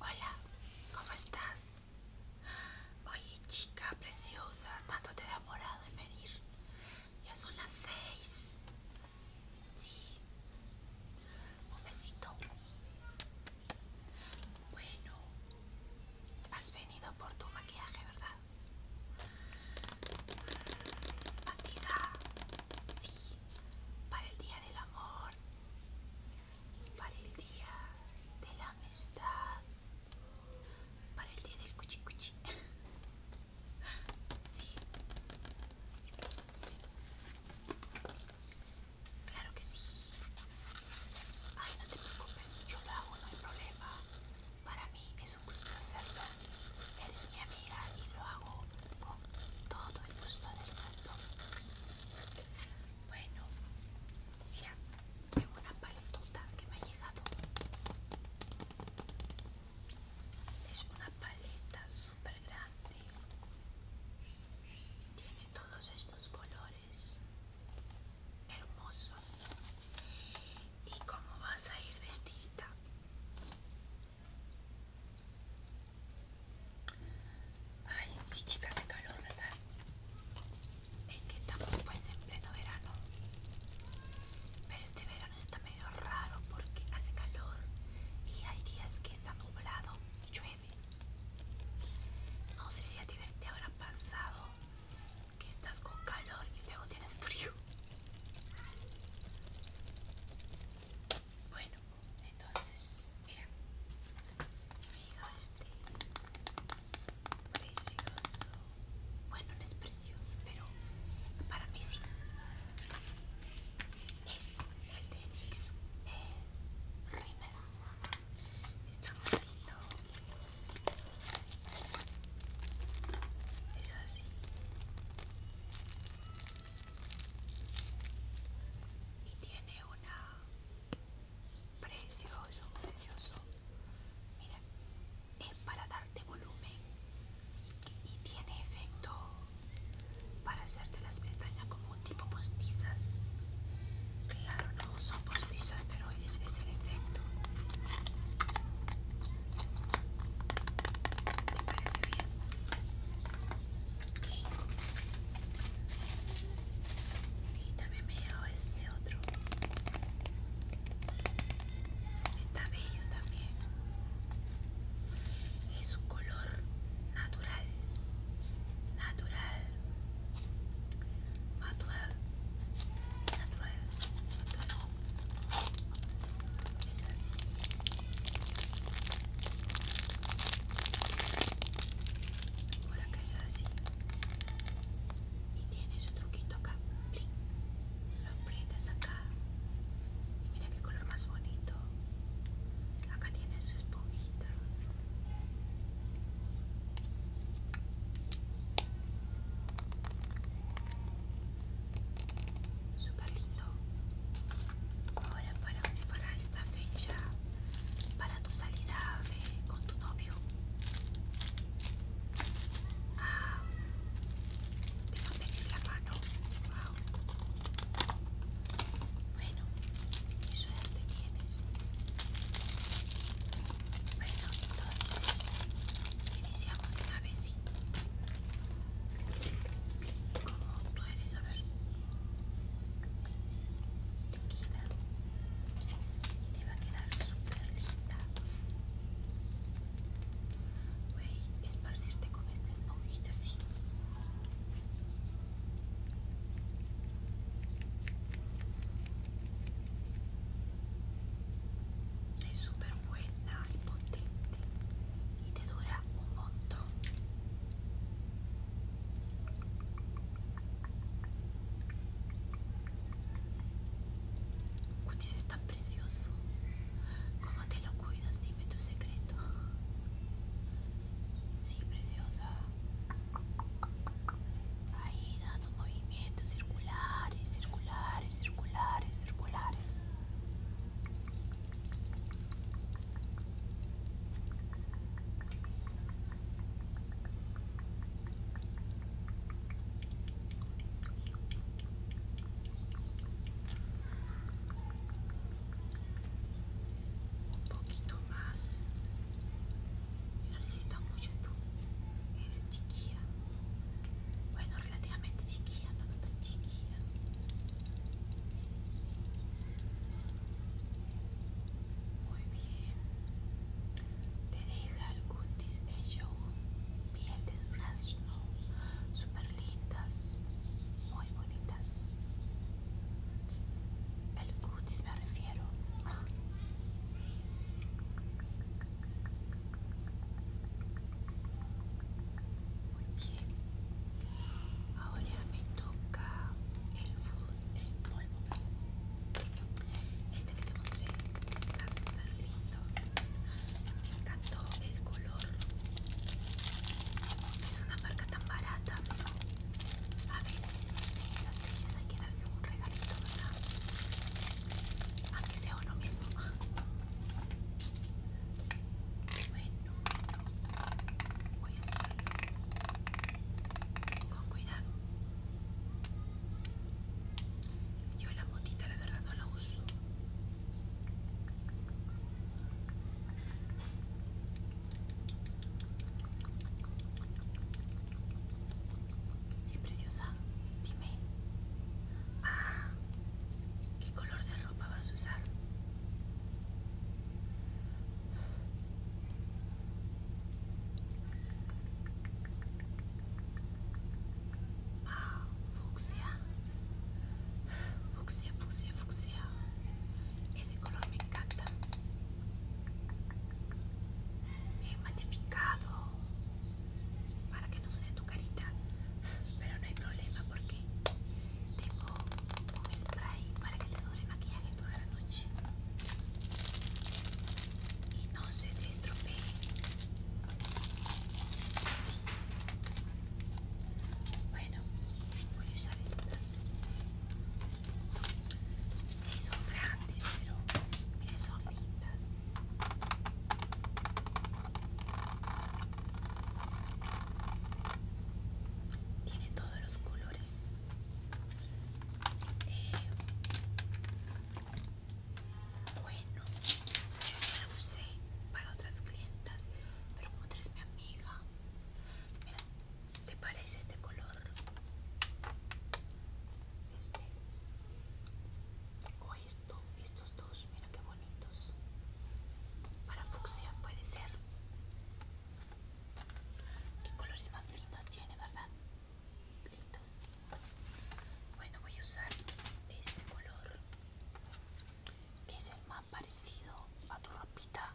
Hola, ¿cómo estás? Oye, chica preciosa, tanto te he demorado en venir. Ya son las seis. Sí. Un besito. Bueno, has venido por tu maquillaje, ¿verdad? Matida. Sí para el día del amor, para el día de la amistad, para el día del cuchicuchi. cuchi. Claro que sí. Ay, no te preocupes, yo lo hago, no hay problema. Para mí es un gusto hacerlo. Eres mi amiga y lo hago con todo el gusto del mundo. Bueno, mira, tengo una paletota que me ha llegado. Es una paleta súper grande. Tiene todos estos colores hermosos. ¿Y cómo vas a ir vestida? Ay, sí, chicas, hace calor, ¿verdad? En que estamos pues en pleno verano. Pero este verano está medio raro porque hace calor y hay días que está nublado y llueve. No sé si a ti te habrá pasado que estás con calor y luego tienes frío. Bueno, entonces, mira, mira este precioso. Bueno, no es precioso, pero para mí sí. Es el de NYX eh, Está bonito. Es así y tiene una precioso, precioso. Mira, es para darte volumen y, tiene efecto para hacerte las pestañas como un tipo postizas. Claro, no son postizas, pero ese es el efecto. ¿Te parece bien? Y también veo este otro. Está bello también. Es un color natural. Natural. Natural. Natural. Natural. Por acá es así. Y tiene su truquito acá. Lo aprietas acá. Y mira qué color más bonito. Acá tiene su esponjita super lindo ahora para, para esta fecha para tu salida eh, con tu novio ah, te va a pedir la mano wow. bueno qué suerte tienes bueno entonces iniciamos de una vez. como tú eres? A ver. Te queda. Te va a quedar súper linda. Voy a esparcirte con esta esponjita así. Es súper bueno. ¡Ay, potente y te dura un montón. Cutis es tan precioso. ¿Cómo te lo cuidas? Dime tu secreto. Sí, preciosa. Ahí, movimientos circulares, circulares, circulares, circulares. Un poquito más. No necesitas mucho tú. Eres chiquilla bueno, relativamente chiquilla, no tan chiquilla. Muy bien. Te deja el cutis de show, piel de durazno, super lindas, muy bonitas. El cutis me refiero. Ah. Muy bien. Ahora me toca el food, polvo. Este que te mostré está súper lindo. Me encantó el color. Es una marca tan barata, pero a veces las hay que darse un regalito, ¿verdad? Aquí sea uno mismo. Bueno, voy a hacerlo con cuidado. Yo la motita la verdad no la uso. Si preciosa, dime. Ah, ¿qué color de ropa vas a usar? Ah, fucsia. Fucsia, fucsia, fucsia. Ese color me encanta. He matificado para que no se tu carita pero no hay problema porque tengo un spray para que te dure maquillaje toda la noche y no se te estropee bueno voy a usar estas son grandes, pero miren, son lindas. Tiene todos los colores. Eh, bueno, yo ya lo usé para otras clientas, pero como eres mi amiga, mira, ¿te parece este color? este o esto estos dos mira qué bonitos para fucsia puede ser que colores más lindos tiene verdad lindos bueno voy a usar este color que es el más parecido a tu ropita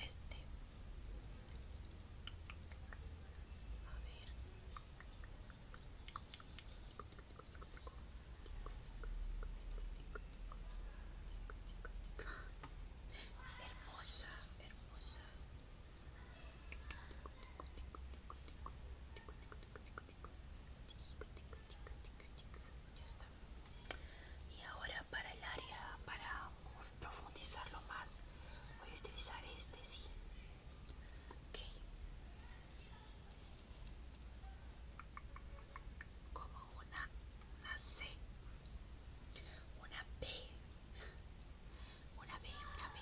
este a ver. Hermosa, hermosa. Y ahora para el área, para profundizarlo más voy a utilizar este sí como una una C una B una B una B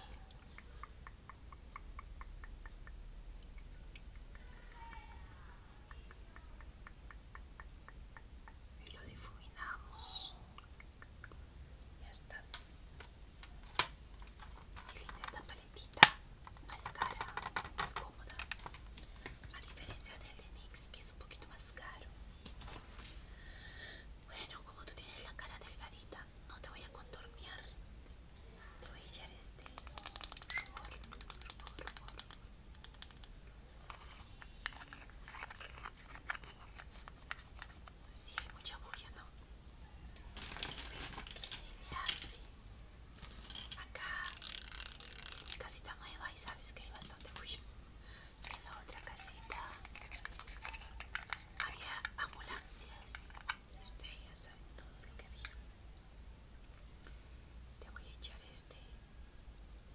y lo difuminamos ya estás. Qué linda esta paletita. No es cara, es cómoda. A diferencia del enix que es un poquito más caro. Bueno, como tú tienes la cara delgadita, no te voy a contornear. Te voy a echar este rubor si hay mucha bugia, ¿no? si, se hace? Acá casita nueva y sabes que hay bastante bugia En la otra casita había ambulancias. este ya sabe todo lo que había. Te voy a echar este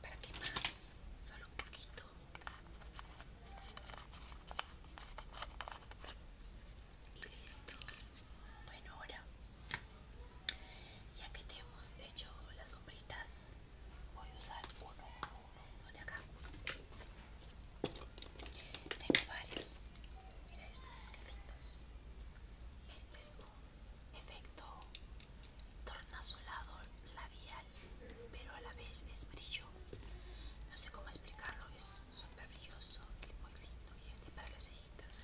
¿Para que más? Solo un poquito. Y listo. Bueno, ahora, ya que te hemos hecho las sombritas, voy a usar uno, uno, de acá. Tengo varios. Mira estos, que lindos. Este es uno efecto tornasolado labial, pero a la vez es brillo. No sé cómo explicarlo, es súper brilloso y muy lindo y este para las cejitas.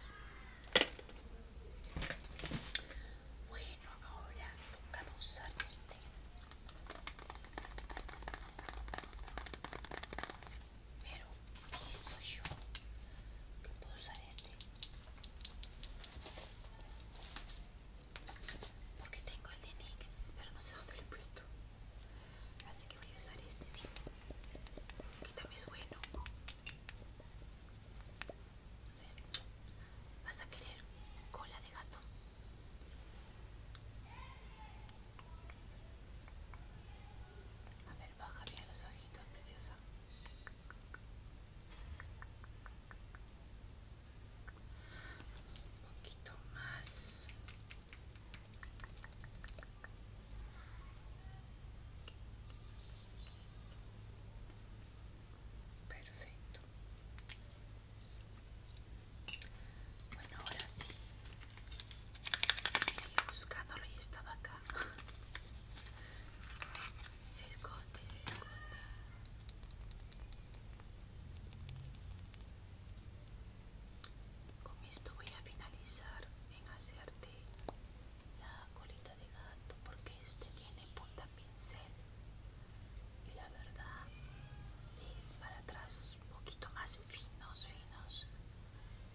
Bueno, ahora toca usar este. Pero pienso yo que puedo usar este porque tengo el de NYX, pero no sé dónde lo he puesto. Así que voy a usar este, sí. Que también es bueno. ¿Vas a querer cola de gato? A ver, baja bien los ojitos, preciosa. Un poquito más. Perfecto. Bueno, ahora sí. Buscándolo y estaba acá. Se esconde, se esconde. Con esto voy a finalizar en hacerte la colita de gato porque este tiene punta pincel y la verdad es para trazos un poquito más finos, finos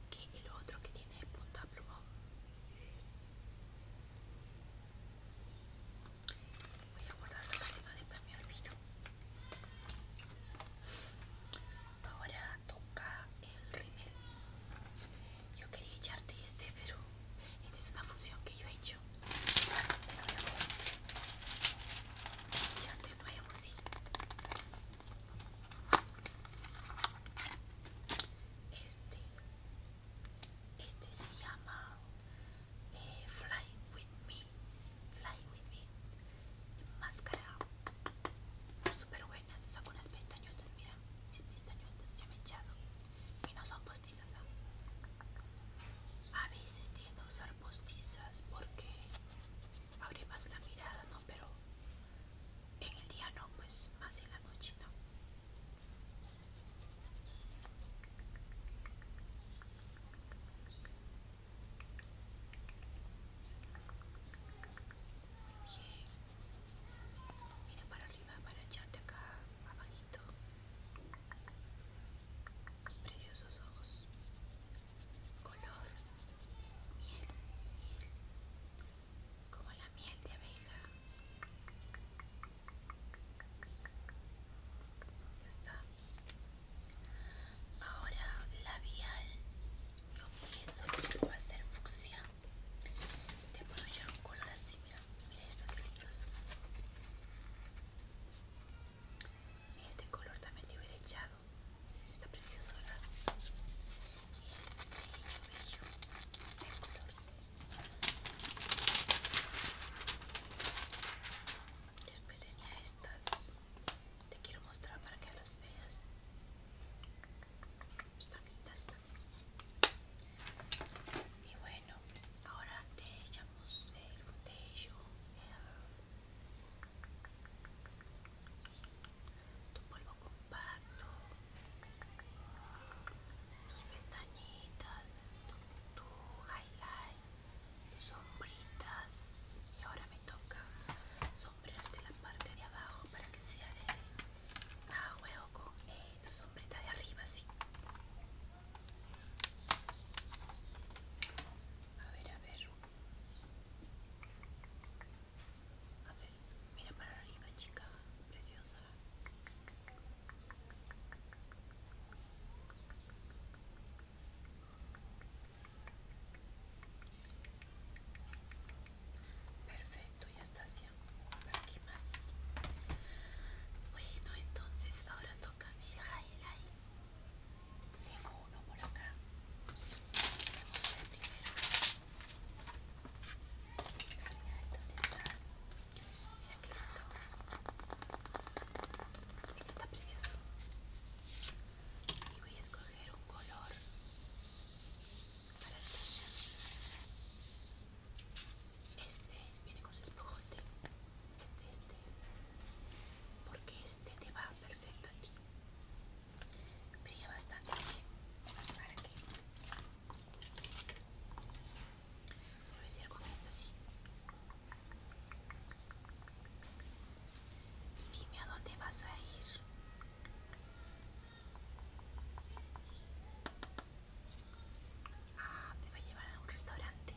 que el otro que tiene punta plumón. Voy a guardar si no después me olvido. Ahora toca el rímel. Yo quería echarte este, pero esta es una fusión que yo he hecho. echarte el nuevo, sí este este se llama eh, Fly With Me Fly With Me máscara super buena está con unas pestañotas mira mis pestañotas ya me he echado y no son postizas ¿ah? a veces tiendo a usar postizas porque abre más la mirada no pero en el día no pues más la Mira para arriba, para echarte acá abajito. Preciosos ojos. Color. miel como la miel de abeja. Ya está. Ahora labial. Yo pienso que va a ser fucsia. Te puedo echar un color así, mira. Mira que lindos. Este color también te hubiera echado. Está precioso, ¿verdad? color Después tenía estas. Te quiero mostrar para que las veas. Están lindas también. Y bueno, ahora te echamos el foundation tu polvo compacto, tus pestañitas, tu, highlight, tus sombritas y ahora me toca sombrearte la parte de abajo para que se de huevo juego con eh, tu sombrita de arriba así. A ver, a ver. A mira para arriba chica, preciosa Perfecto, ya está haciendo por ¿qué más Bueno, entonces ahora toca el highlight Tengo uno por acá Vamos primero este está precioso. Y voy a escoger un color para escuchar. Este viene con su espujote. Este, este. Porque este te va perfecto ti brilla bastante bien para que voy a decir como esta así dime a dónde vas a ir ah, te va a llevar a un restaurante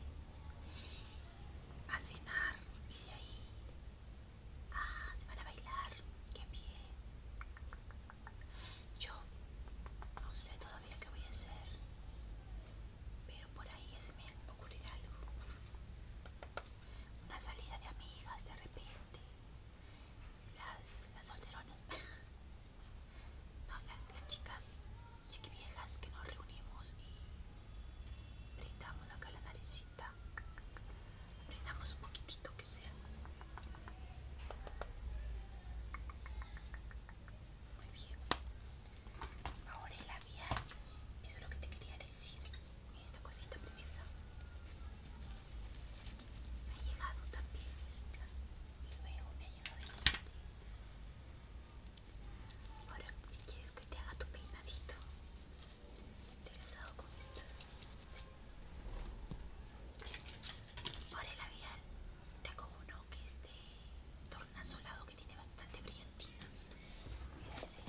a cenar y ahí Ah, se van a bailar. Qué bien. Yo no sé todavía qué voy a hacer. Pero por ahí se me ocurrirá algo. Una salida de amigas de repente. Las, las solteronas. las, las chicas chiquiviejas que nos reunimos y brindamos acá la naricita un poquitito que sea. Muy bien. Ahora el labial. Eso es lo que te quería decir. Mira esta cosita preciosa. Me ha llegado también esta. este. Ahora, si quieres que te haga tu peinadito por con estas? Ahora el labial tengo uno que es de tornasolado que tiene bastante brillantina. Mira, este.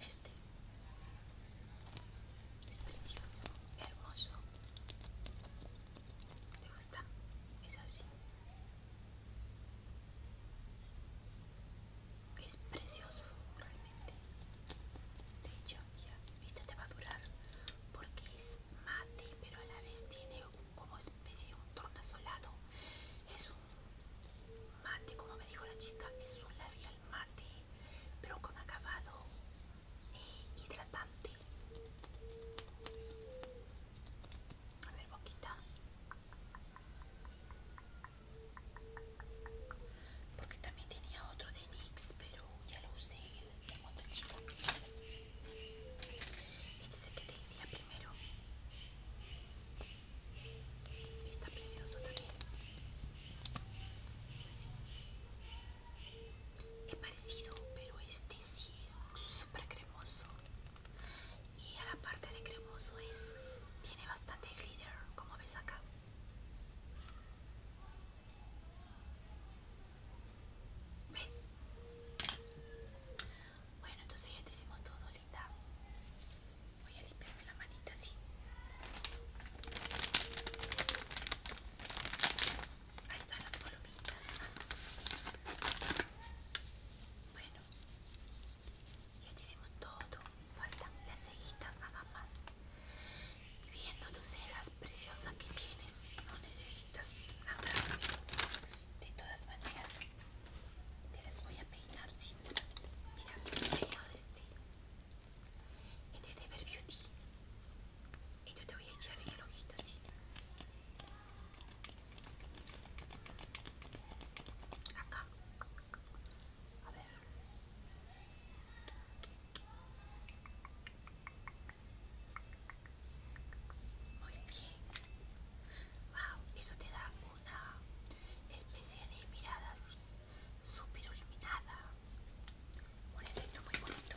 Este es precioso, hermoso es así. Es precioso realmente. De hecho, ya viste, te va a durar porque es mate, pero a la vez tiene como especie de un tornasolado. Es un mate, como me dijo la chica, es un labial mate, pero con acabado eh, hidratante. A ver, boquita. Porque también tenía otro de Nix pero ya lo usé Tengo otro chico. Este es que te decía primero. Está precioso también. Pues es parecido pero este sí es Super cremoso y a la parte de cremoso es tiene bastante glitter como ves acá ves bueno entonces ya te hicimos todo linda voy a limpiarme la manita así Ahí están las columnitas. Bueno, ya te hicimos todo. Faltan las cejitas nada más. Y viendo tus cejas preciosas que tienes, no necesitas nada. De todas maneras, te las voy a peinar, sí. Mira, el peinado este. Este de Beauty. Y yo te voy a echar en el ojito así. Acá. A ver. Muy bien. Wow, eso te da una especie de mirada así, súper iluminada. Un efecto muy bonito.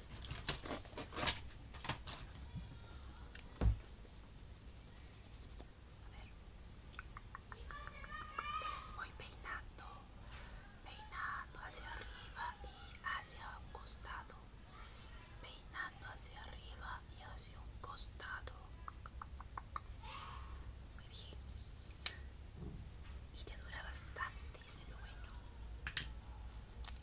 les voy peinando, peinando hacia arriba y hacia un costado, peinando hacia arriba y hacia un costado. Muy bien. Y te dura bastante ese bueno.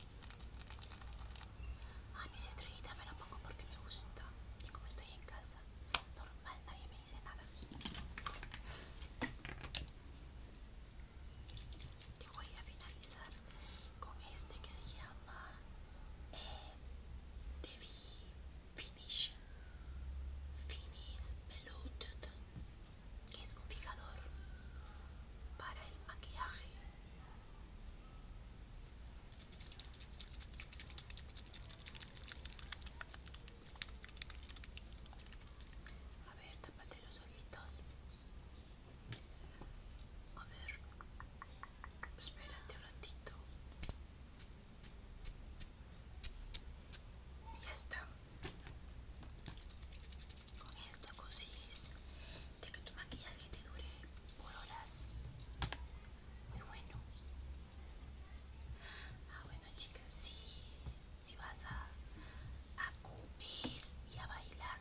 A mis estrellita me lo pongo porque me gusta. Y como estoy en casa, normal, nadie me dice nada. Te voy a finalizar con este que se llama eh, Devi Finish Finish que es un fijador para el maquillaje a ver, tapate los ojitos. A ver, espérate un ratito. Ya está con esto consigues de que tu maquillaje te dure por horas muy bueno ah bueno chicas si, si vas a, comer y a bailar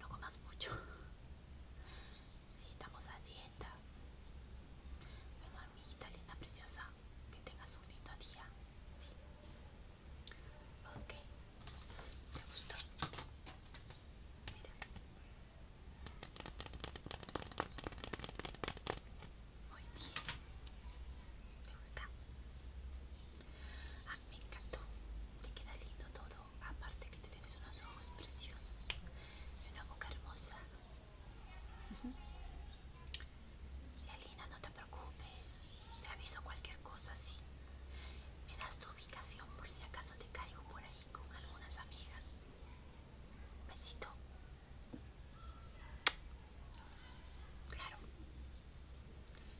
no comas mucho si estamos a dieta bueno amiguita linda preciosa que tengas un lindo día sí ok ¿Te gustó. Mira. Muy bien. Me gusta. A mí me encantó. Te queda lindo todo. Aparte que te tienes unos ojos preciosos y una boca hermosa. Y Alina no te preocupes. Te aviso cualquier cosa, sí. Me das tu ubicación por si acaso te caigo por ahí con algunas amigas. Besito. Claro.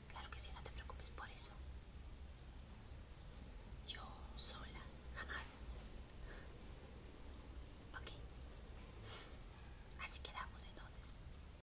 Claro que sí, no te preocupes por eso. Yo sola, jamás. Ok. Así quedamos entonces.